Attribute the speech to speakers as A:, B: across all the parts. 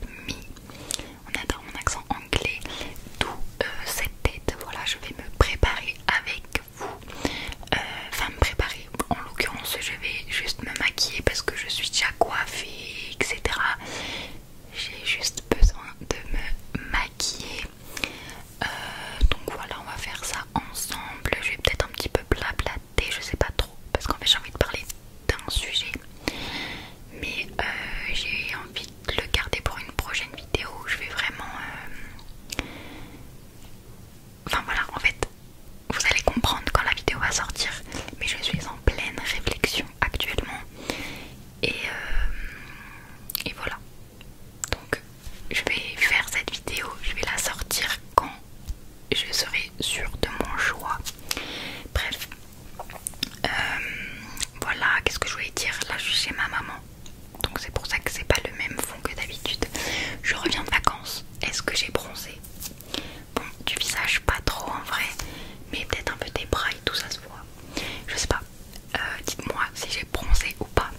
A: on adore mon accent anglais, d'où euh, cette tête. Voilà, je vais me préparer avec vous. Euh, enfin, me préparer. En l'occurrence, je vais juste me maquiller parce que je suis déjà coiffée, etc. J'ai juste besoin de me maquiller. Euh, donc voilà, on va faire ça ensemble. Je vais peut-être un petit peu blablater, je sais pas trop, parce qu'en fait j'ai envie de parler d'un sujet mais euh, j'ai envie de le garder pour une prochaine vidéo je vais vraiment euh, enfin voilà en fait vous allez comprendre quand la vidéo va sortir mais je suis en pleine réflexion actuellement et, euh, et voilà donc je vais faire cette vidéo je vais la sortir quand je serai sûre de mon choix bref euh, voilà, qu'est-ce que je voulais dire Là, je suis chez ma maman, donc c'est pour ça que c'est pas le même fond que d'habitude. Je reviens de vacances. Est-ce que j'ai bronzé Bon, du visage, pas trop en vrai, mais peut-être un peu des bras et tout ça se voit. Je sais pas. Euh, dites-moi si j'ai bronzé ou pas.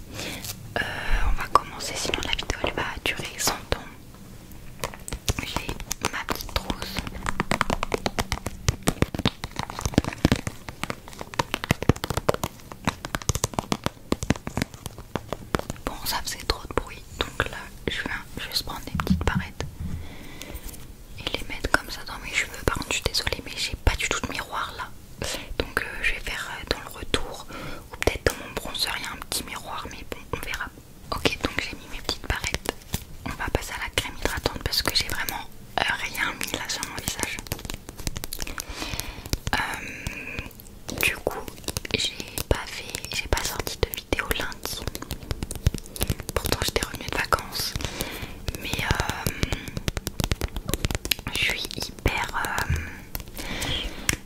A: Euh, on va commencer, sinon la vidéo elle va durer 100 ans. J'ai ma petite trousse Bon, ça faisait trop de bruit, donc là je viens juste prendre des petites barrettes et les mettre comme ça dans mes cheveux. Par contre, je suis désolée, mais j'ai pas du tout de miroir là. Donc euh, je vais faire euh, dans le retour ou peut-être dans mon bronzer il y a un petit miroir mais bon on verra Ok, donc j'ai mis mes petites barrettes. On va passer à la crème hydratante parce que j'ai vraiment euh, rien mis là sur mon visage. Euh, du coup, j'ai pas fait, j'ai pas sorti de vidéo lundi. Pourtant, j'étais revenue de vacances, mais euh, je suis hyper.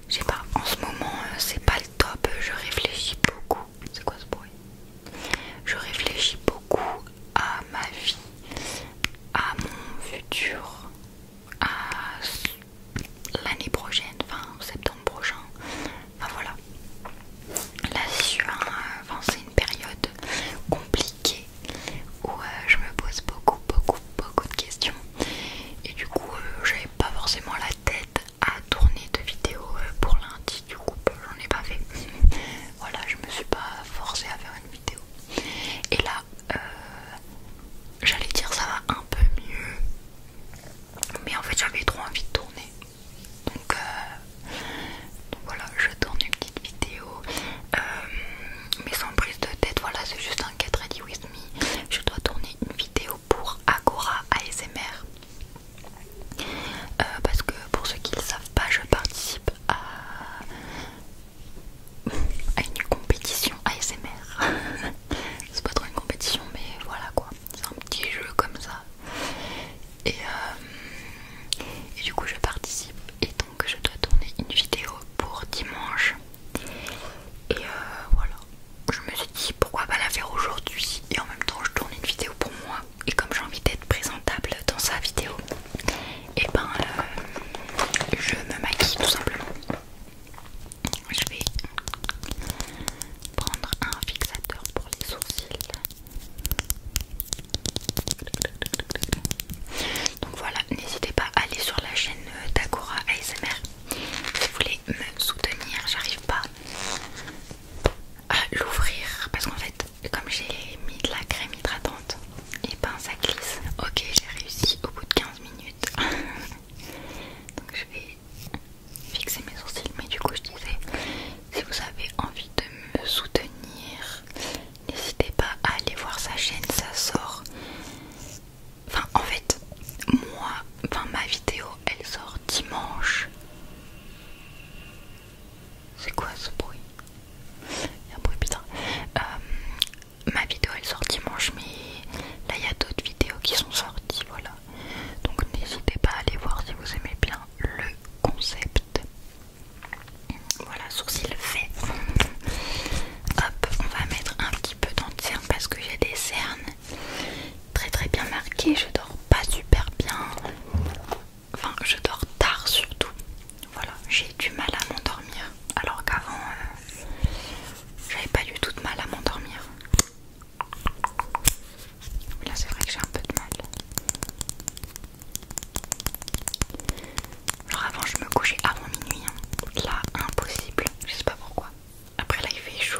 A: je sais pas, en ce moment, c'est pas le top. Je réfléchis beaucoup. C'est quoi ce bruit je réfléchis beaucoup à ma vie, à mon futur, à l'année prochaine, enfin septembre prochain. Enfin voilà. Là euh, c'est une période compliquée où euh, je me pose beaucoup, beaucoup, beaucoup de questions. Et du coup, euh, j'avais pas forcément la tête à tourner de vidéo euh, pour lundi du coup j'en ai pas fait voilà je me suis pas forcée à faire une vidéo et là euh, j'allais dire ça va un peu mieux mais en fait j'avais trop envie de tourner donc, euh, voilà je tourne une petite vidéo mais sans prise de tête voilà c'est juste un get ready with me je dois tourner une vidéo pour Agora ASMR euh, parce que pour ceux qui ne le savent pas, je participe à, une compétition ASMR. c'est pas trop une compétition, mais voilà quoi. C'est un petit jeu comme ça. Et, euh, du coup, je participe et donc je dois tourner une vidéo pour dimanche. Et euh, voilà, je me suis dit pourquoi pas la faire aujourd'hui et en même temps je tourne une vidéo pour moi et comme j'ai envie d'être présentable dans sa vidéo, et eh ben euh, je me maquille tout simplement. Je vais prendre un fixateur pour les sourcils. Donc voilà, n'hésitez pas à aller sur la chaîne euh, d'Agora ASMR si vous voulez me soutenir. J'arrive pas à l'ouvrir parce qu'en fait comme j'ai mis de la crème hydratante et ben ça glisse. Ok j'ai réussi au bout de 15 minutes donc je vais fixer mes sourcils mais du coup je disais si vous avez envie de me soutenir n'hésitez pas à aller voir sa chaîne ça sort enfin en fait moi enfin ma vidéo elle sort dimanche. C'est quoi ce bruit Il y a un bruit bizarre. Euh, ma vidéo elle sort dimanche, mais là il y a d'autres vidéos qui sont sorties. Voilà. Donc n'hésitez pas à aller voir si vous aimez bien le concept. Voilà, sourcil fait. Hop, on va mettre un petit peu dans cernes hein, parce que j'ai des cernes très très bien marqué. Je dors pas super bien. Enfin, je dors tard surtout. Voilà, j'ai du mal à m'endormir. Alors qu'avant, euh, j'avais pas du tout de mal à m'endormir. Là, c'est vrai que j'ai un peu de mal. Genre, avant, je me couchais avant minuit. Hein. Là, impossible. Je sais pas pourquoi. Après, là, il fait chaud.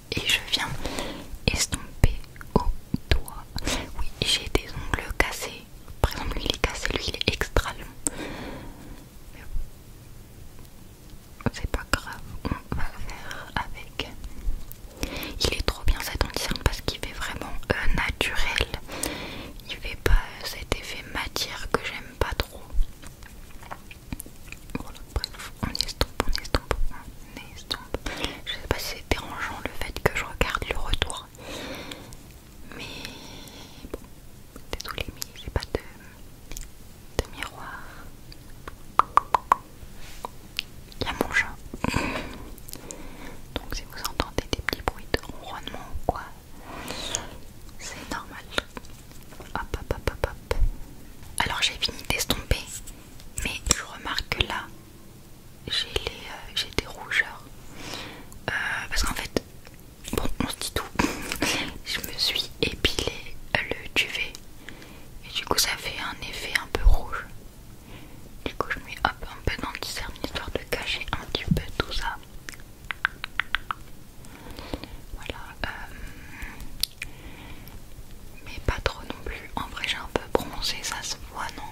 A: et je viens estomper au doigt. Oui, j'ai des ongles cassés. Par exemple, lui il est cassé, lui il est extra long. c'est pas grave, on va faire avec. Il est trop bien cet anti parce qu'il fait vraiment euh, naturel. Il fait pas cet effet matière que j'aime pas trop. Voilà, bref, on estompe, on estompe, on estompe. Je sais pas si c'est dérangeant le fait que je regarde le retour. Mais bon, les mais c'est pas de, de miroir. Il y a mon chat. Donc si vous entendez des petits bruits de ronronnement ou quoi, c'est normal. Hop hop hop hop hop. Alors j'ai fini d'estomper mais je remarque que là j'ai euh, des rougeurs euh, parce qu'en fait bon on se dit tout je me suis épilé le duvet et du coup ça fait un effet un peu rouge du coup je mets un peu danti le histoire de cacher un petit peu tout ça voilà euh, mais pas trop non plus. En vrai, j'ai un peu bronzé, ça se voit, non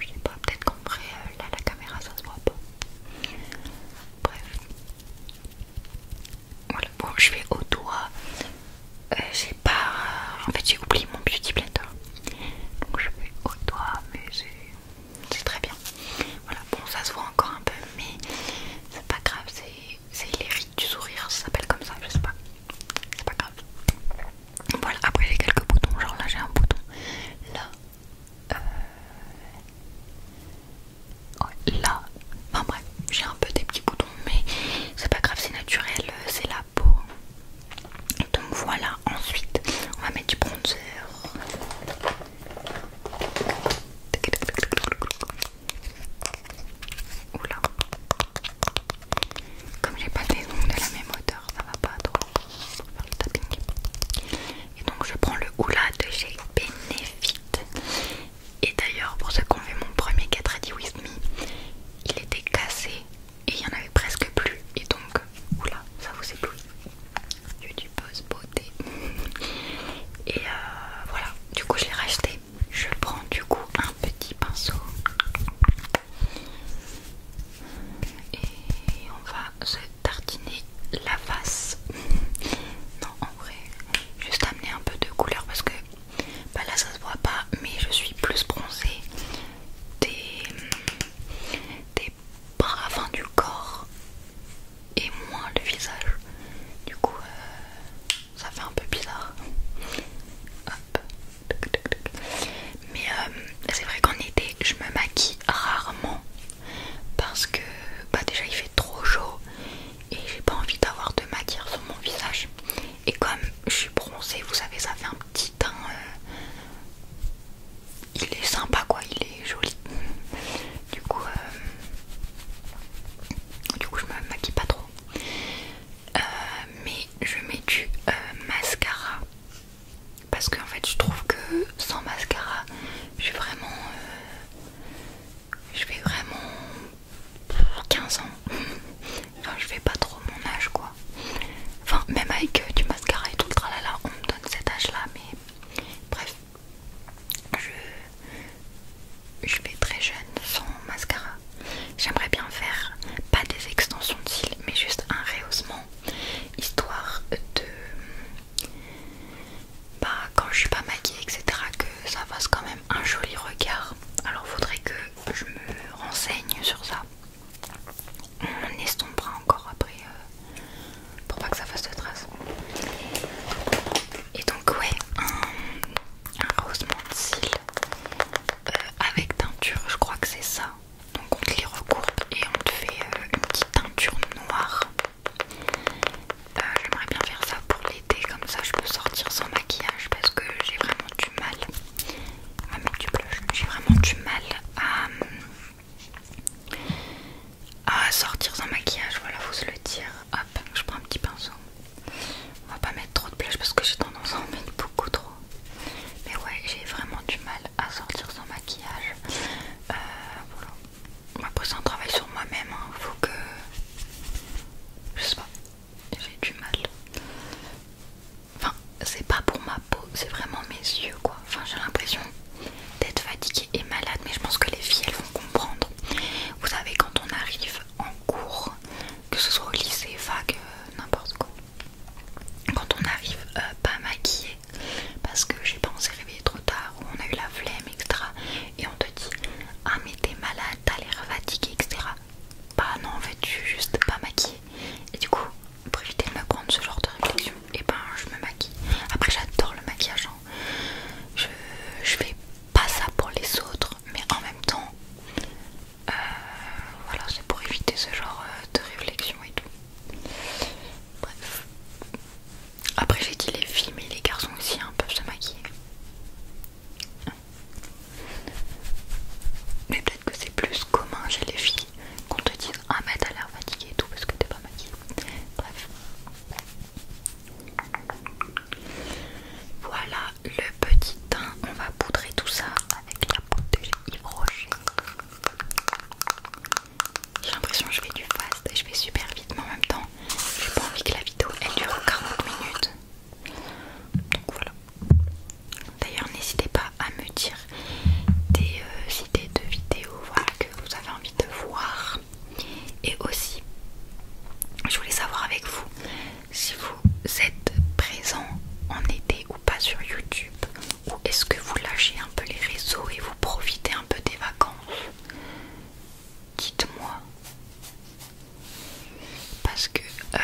A: Je sais pas, peut-être qu'en vrai, euh, là, la caméra, ça se voit pas. Bref, voilà. Bon, je vais au doigt. C'est euh, pas. Euh, en fait, j'ai oublié mon beauty blender. Donc, je vais au doigt, mais c'est très bien. Voilà, bon, ça se voit encore un peu, mais c'est pas grave, c'est les rides du sourire, ça s'appelle comme ça, je sais pas c'est pas grave. Voilà, après j'ai quelques boutons, genre là j'ai un bouton, là, euh, ouais, là, enfin bref, j'ai un peu des petits boutons, mais c'est pas grave, c'est naturel, euh, c'est la peau. Donc voilà, ensuite on va mettre du bronzer. Oula. Comme j'ai pas des ongles de la même hauteur, ça va pas trop faire le tapping. Et donc je prends le Oula de chez Benefit. Et d'ailleurs, pour ceux qui ont vu mon premier 4 With Me, il était cassé et il y en avait presque plus. Et donc, oula, ça vous éblouit. Youtubeuse du beauté. Et euh, voilà, du coup, je l'ai racheté je prends du coup un petit pinceau et on va se tartiner la face. non, en vrai, juste amener un peu de couleur parce que bah là ça se voit pas, mais je suis plus bronzée des, des bras, du corps et moins le visage. Du coup, euh, ça fait un peu bizarre. Mais euh, c'est vrai qu'en été, je me maquille rarement parce que bah déjà il fait trop chaud et j'ai pas envie d'avoir de matière sur mon visage. Et comme je suis bronzée, vous savez, ça fait un petit teint. Euh, il est sympa quoi, il est joli. Du coup, euh, du coup, je me maquille pas trop. Euh, mais je mets du euh, mascara parce qu'en fait je trouve que sans mascara je suis vraiment euh, je vais vraiment 15 ans enfin je vais pas trop mon âge quoi enfin même avec du mascara et tout le tralala on me donne cet âge là mais bref je je vais très jeune sans mascara. J'aimerais bien faire pas des extensions de cils mais juste un rehaussement histoire de bah quand je suis pas maquillée etc que ça fasse quand même un joli regard. Alors faudrait que je me renseigne sur ça. On estompera encore après euh, pour pas que ça fasse de traces. Et donc ouais, un rosement de cils euh, avec teinture, je crois que c'est ça. Donc on te les recourbe et on te fait euh, une petite teinture noire. Euh, j'aimerais bien faire ça pour l'été, comme ça je peux sortir sans maquillage parce que j'ai vraiment du mal. J'ai vraiment du mal à, sortir sans maquillage, voilà, faut se le dire. Hop, je prends un petit pinceau. On va pas mettre trop de plage parce que j'ai tendance à en mettre beaucoup trop. Mais ouais, j'ai vraiment du mal à sortir sans maquillage. Euh, voilà. Après, c'est un travail sur moi-même. Il hein. Faut que. Je sais pas. J'ai du mal. Enfin, c'est pas pour ma peau, c'est vraiment mes yeux quoi. Enfin, j'ai l'impression d'être fatiguée et malade, mais je pense que les filles elles vont comprendre. Vous savez, quand on arrive en cours, que ce soit au lycée, vague, euh, n'importe quoi. Quand on arrive euh, pas maquillé, parce que j'ai pensé réveiller trop tard, ou on a eu la flemme, etc. Et on te dit Ah, mais t'es malade, t'as l'air fatigué, etc. Bah non, en fait, je juste pas maquillée. Et du coup, pour éviter de me prendre ce genre de réflexion, et ben je me maquille. Après, j'adore le maquillage. Hein. Je, je fais pas ça pour les autres, mais en même temps, euh, voilà, c'est pour éviter ce genre euh, de réflexion et tout. Bref. Après, j'ai dit les filles, mais les garçons aussi un hein, peuvent se maquiller. Mais peut-être que c'est plus commun chez les filles qu'on te dise Ah, mais t'as l'air fatigué et tout parce que t'es pas maquillé Bref. Voilà le petit teint. On va poudrer tout ça avec la poudre de J'ai l'impression que je fais du fast et je fais super vite, mais en même temps, j'ai pas envie que la vidéo elle dure 40 minutes. Donc voilà. D'ailleurs, n'hésitez pas à me dire des euh, idées de vidéos que vous avez envie de voir. Et aussi, je voulais savoir avec vous si vous êtes présent en été ou pas sur YouTube, ou est-ce que vous lâchez un peu les réseaux et vous profitez un peu des vacances Dites-moi. Parce que, euh,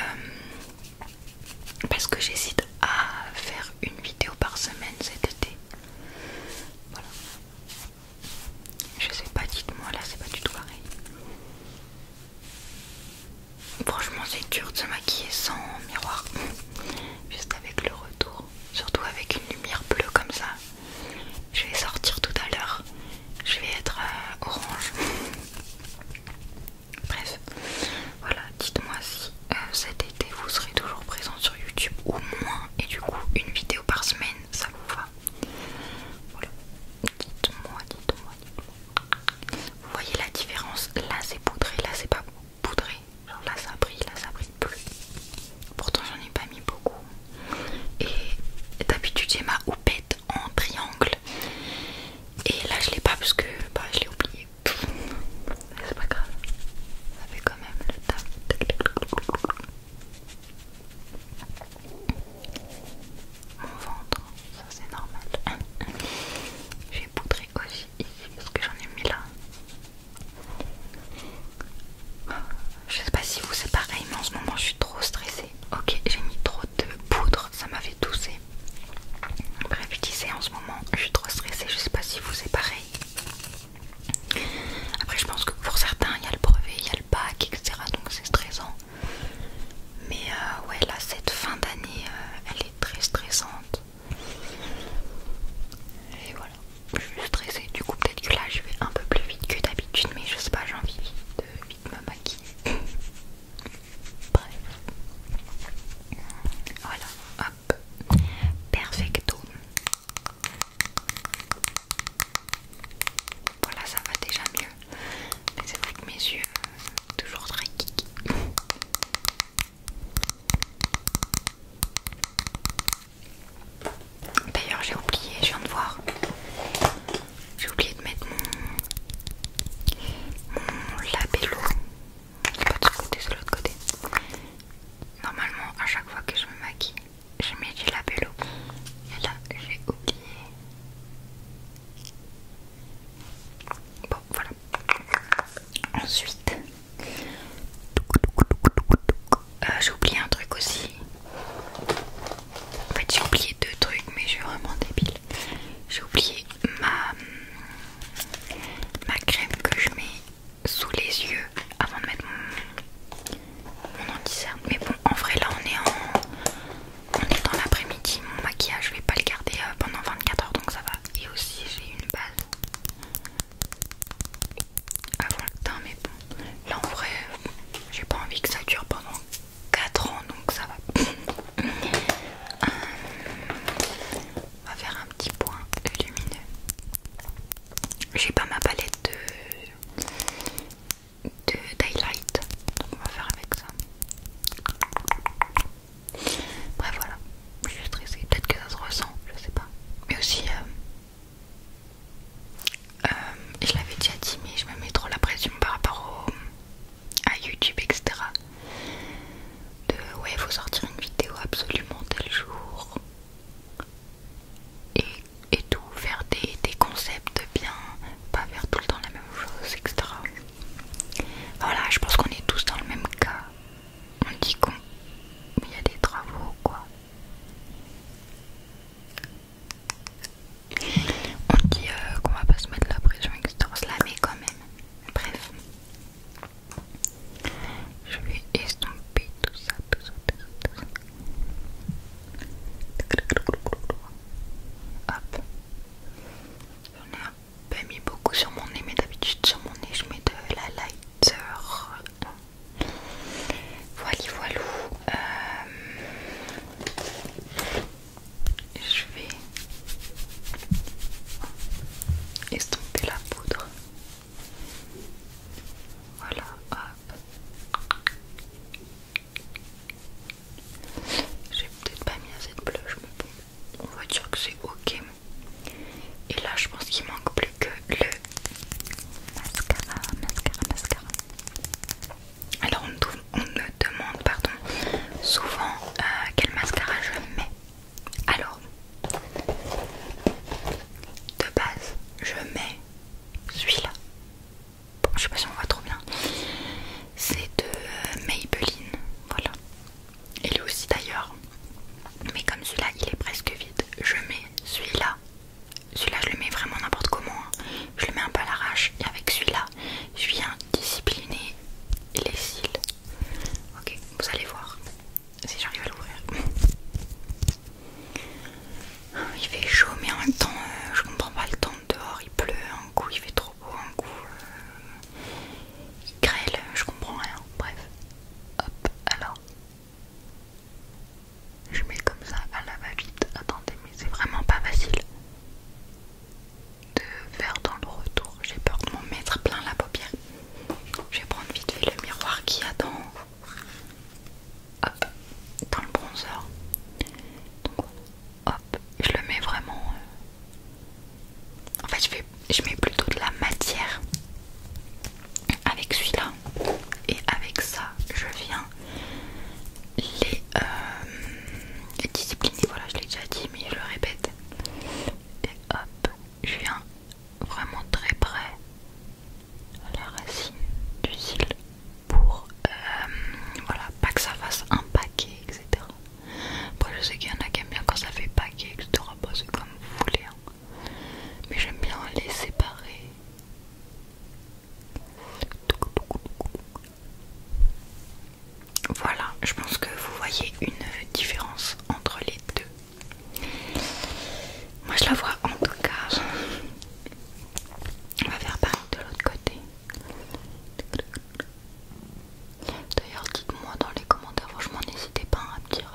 A: parce que j'hésite à faire une vidéo par semaine cet été. Voilà. Je sais pas, dites-moi, là c'est pas du tout pareil. Franchement, c'est dur de se maquiller sans miroir, juste avec le retour, surtout avec une lumière bleue comme ça. Je vais sortir tout à l'heure, je vais être euh, orange. Bref, voilà, dites-moi si euh, cet été vous serez toujours présent sur YouTube au moins, et du coup, une vidéo par semaine, ça vous va. Voilà. Dites-moi, dites-moi, dites-moi. Vous voyez la différence Là c'est poudré, là c'est pas poudré. Genre là ça brille, là ça brille plus. Pourtant j'en ai pas mis beaucoup. Et d'habitude j'ai ma houppette en triangle. Et là je l'ai pas parce que bah, je l'ai oublié. C'est pas grave. Ça fait quand même le taf. Mon ventre, ça c'est normal. J'ai poudré aussi ici parce que j'en ai mis là. Je sais pas si vous c'est pareil, mais en ce moment je suis trop stressée. Ok, j'ai mis trop de poudre, ça m'avait fait tousser. Bref, je disais en ce moment je suis trop stressée, je sais pas si vous c'est pareil. Après, je pense que pour certains il y a le brevet, il pack etc. Donc c'est stressant. Mais euh, ouais, là, cette fin d'année, euh, elle est très stressante. Et voilà, je suis stressée. Du coup, peut-être que là, je vais un peu plus vite que d'habitude, mais je sais pas, j'ai envie de vite me maquiller. Bref. Voilà, hop, perfecto. Voilà, ça va déjà mieux. Mais c'est vrai que mes yeux, sont euh, toujours très kiki. D'ailleurs, j'ai oublié, je viens de voir. J'ai oublié de mettre mon, mon labello. C'est pas de ce côté, c'est de l'autre côté. Normalement, à chaque fois que je me maquille, j'ai mis du labello et là j'ai oublié. Bon voilà. Ensuite, euh, j'ai oublié un truc aussi. En fait j'ai oublié deux trucs mais je suis vraiment débile. J'ai oublié ma, ma crème que je mets sous les yeux avant de mettre mon, en dit ça, Mais bon, en vrai, là on est en, dans l'après-midi. Mon maquillage, je vais pas le garder euh, pendant 24 heures, donc ça va. Et aussi, j'ai une base avant ah, le teint, mais bon, là en vrai, j'ai pas envie que ça dure pendant 4 ans, donc ça va. Euh, on va faire un petit point lumineux. J'ai pas ma palette de de Daylight, Donc on va faire avec ça. Bref voilà, je suis stressée, peut-être que ça se ressent, je sais pas. Mais aussi, euh, euh, je l'avais déjà dit, mais je me mets trop la pression par rapport à YouTube, etc. De ouais, il faut sortir une vidéo absolument tel jour. Et et tout, faire des, concepts bien, pas faire tout le temps la même chose, etc. Voilà, je pense qu'on est tous dans le même cas. On dit qu'on. Il y a des travaux, quoi. On dit euh, qu'on va pas se mettre la pression, etc. la mais quand même. Bref. Je vais estomper tout ça, tout ça, tout ça, tout ça. Hop. J'en ai un mis beaucoup sur mon nez, mais d'habitude sur mon nez je mets de la lighter. Voilà, voilà. Euh, je vais estomper la poudre. Voilà, j'ai peut-être pas mis assez de blush, mais on va dire que c'est ok. Et là, je pense qu'il manque plus que le mascara, mascara, mascara. Alors, on, me, demande pardon, souvent euh, quel mascara je mets. Alors, de base, je mets celui-là. Bon, je sais pas si on voit trop bien. C'est de euh, Maybelline, voilà. Il est aussi d'ailleurs. Mais comme celui-là, il est presque vide, je mets celui-là. Celui-là, je le mets vraiment n'importe comment. Hein. Je le mets un peu à l'arrache. Et avec celui-là, je viens discipliner les cils. Ok, vous allez voir si j'arrive à l'ouvrir. Il fait chaud, mais en même temps, euh, je comprends pas le temps dehors. Il pleut, un coup il fait trop beau, un coup euh, il grêle, je comprends rien. Bref, hop, alors je mets comme ça à la va-vite. Attendez, mais c'est vraiment pas facile de faire dans le retour. J'ai peur de m'en mettre plein la paupière. Je vais prendre vite fait le miroir qui attend hop, dans le bronzer. Donc, hop, je le mets vraiment. Euh, en fait, je, mets plutôt de la matière avec celui-là. Et avec ça, je viens les, euh, les discipliner. Voilà, je l'ai déjà dit, mais je le répète. Et hop, je viens vraiment très près à la racine du cil pour euh, voilà, pas que ça fasse un paquet, etc. pour je sais qu'il y en a qui aiment bien quand ça fait paquet, etc. te c'est comme vous voulez, hein. mais j'aime bien les séparer. Voilà, je pense que vous voyez une différence entre les deux. Moi je la vois en tout cas. On va faire pareil de l'autre côté. D'ailleurs dites-moi dans les commentaires, franchement n'hésitez pas à me dire,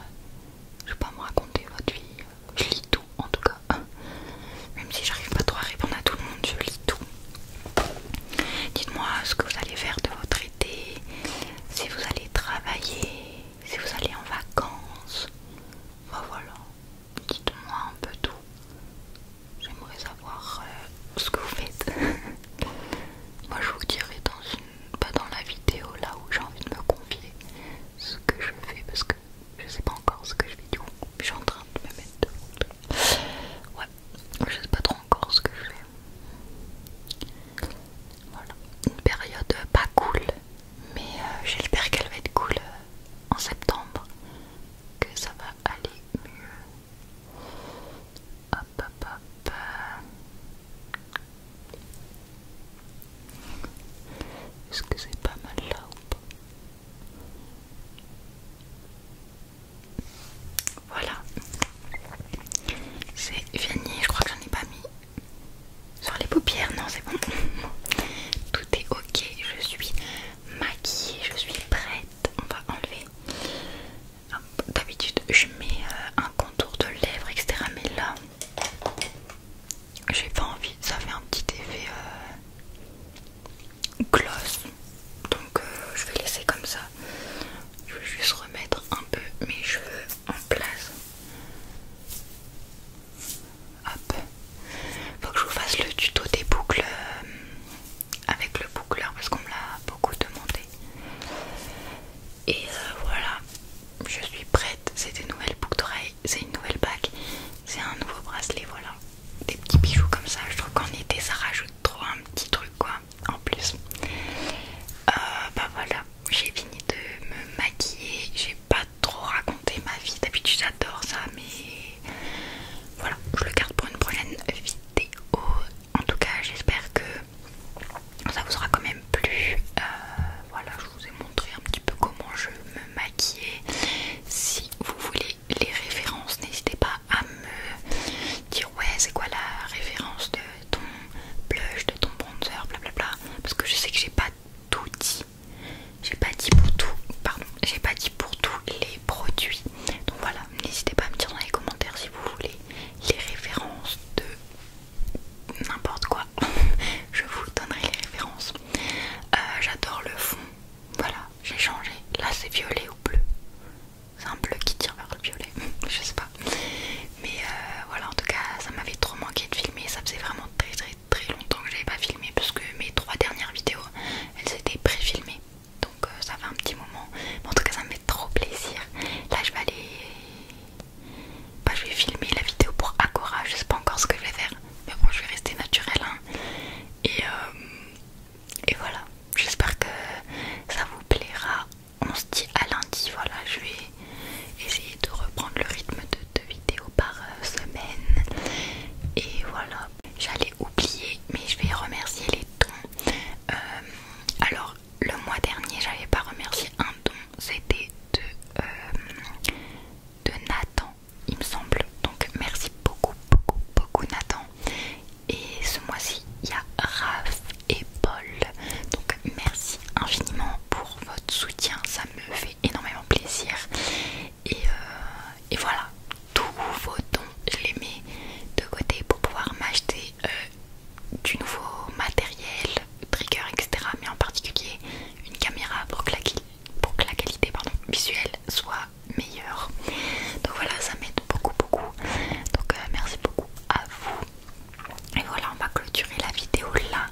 A: je vais pas me raconter votre vie, je lis tout en tout cas. Même si j'arrive pas trop à répondre à tout le monde, je lis tout. Dites-moi ce que vous allez faire de votre été, si vous allez travailler, si vous allez en vacances, bah voilà, dites-moi un peu tout. J'aimerais savoir euh, ce que vous faites. Moi je vous dirai dans pas dans la vidéo là où j'ai envie de me confier ce que je fais parce que je sais pas encore ce que je fais du coup. Je suis en train de me mettre de Ouais, je sais pas trop encore ce que je fais. Voilà. Une période pas cool mais euh, j'espère qu'elle va être cool euh, en septembre, que ça va aller mieux. Hop hop hop. Est-ce que c'est pas mal là ou pas voilà, c'est fini. Je crois que j'en ai pas mis sur les paupières, non, c'est bon. Tout est ok, je suis maquillée, je suis prête. On va enlever. D'habitude, je mets euh, un contour de lèvres, etc. Mais là, j'ai pas envie. Ça fait un petit effet euh, gloss. Donc, euh, je vais laisser comme ça. Je vais juste remettre un peu mes cheveux en place. Hop. Faut que je vous fasse le tuto des boucles euh, avec le boucleur parce qu'on me l'a beaucoup demandé. Et euh, voilà, je suis prête. C'est des nouvelles boucles d'oreilles, c'est une nouvelle bague, c'est un nouveau bracelet. Voilà, des petits bijoux comme ça. Je trouve qu'en été ça rajoute trop un petit truc quoi en plus. Euh, bah voilà, j'ai fini de me maquiller. J'ai pas trop raconter ma vie, d'habitude j'adore ça, mais voilà, je le garde pour une prochaine vidéo. En tout cas, j'espère que ça vous aura quand même plu. Euh, voilà, je vous ai montré un petit peu comment je me maquillais. Si vous voulez les références, n'hésitez pas à me dire ouais, c'est quoi la référence de ton blush, de ton bronzer, blablabla, parce que je sais que j'ai pas tout dit. J'ai pas dit pour tout, pardon, j'ai pas dit pour tous les produits. Donc voilà, n'hésitez pas à me dire dans les commentaires si vous voulez les références de n'importe quoi. Je vous donnerai les références. Euh, j'adore le fond. Voilà, j'ai changé. Là c'est violet ou bleu. C'est un bleu qui tire vers le violet. Je sais pas mais euh, voilà en tout cas ça m'avait trop manqué de filmer ça faisait vraiment très très très longtemps que j'avais pas filmé parce que mes trois dernières vidéos elles étaient pré-filmées donc euh, ça fait un petit moment en tout cas ça me fait trop plaisir là je vais aller bah, je vais filmer la vidéo pour Agora je sais pas encore ce que je vais faire mais bon je vais rester naturelle hein. et, euh, et voilà j'espère que ça vous plaira on se dit à lundi voilà je vais essayer de reprendre le rythme de deux vidéos par euh, semaine. Et voilà, j'allais oublier, mais je vais remercier les dons. Euh, alors, le mois dernier, j'avais pas remercié un don, c'était de, euh, de Nathan, il me semble. Donc, merci beaucoup, beaucoup, beaucoup, Nathan. Et ce mois-ci, il y a Raph et Paul. Donc, merci infiniment pour votre soutien, ça me fait énormément plaisir. Et, euh, voilà, tous vos dons, je les mets de côté pour pouvoir m'acheter euh, du nouveau matériel, trigger, etc. Mais en particulier une caméra pour que la, qualité pardon, visuelle soit meilleure. Donc voilà, ça m'aide beaucoup, beaucoup. Donc euh, merci beaucoup à vous et voilà, on va clôturer la vidéo là.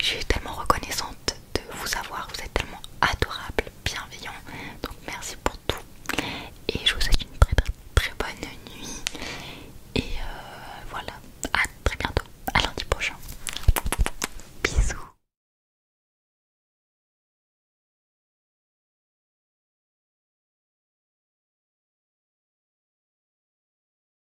A: Je suis tellement reconnaissante de vous avoir. Vous êtes tellement adorable, bienveillant. Donc merci pour tout. Et je vous souhaite une très très très bonne nuit. Et euh, voilà, à très bientôt. À lundi prochain. Bisous.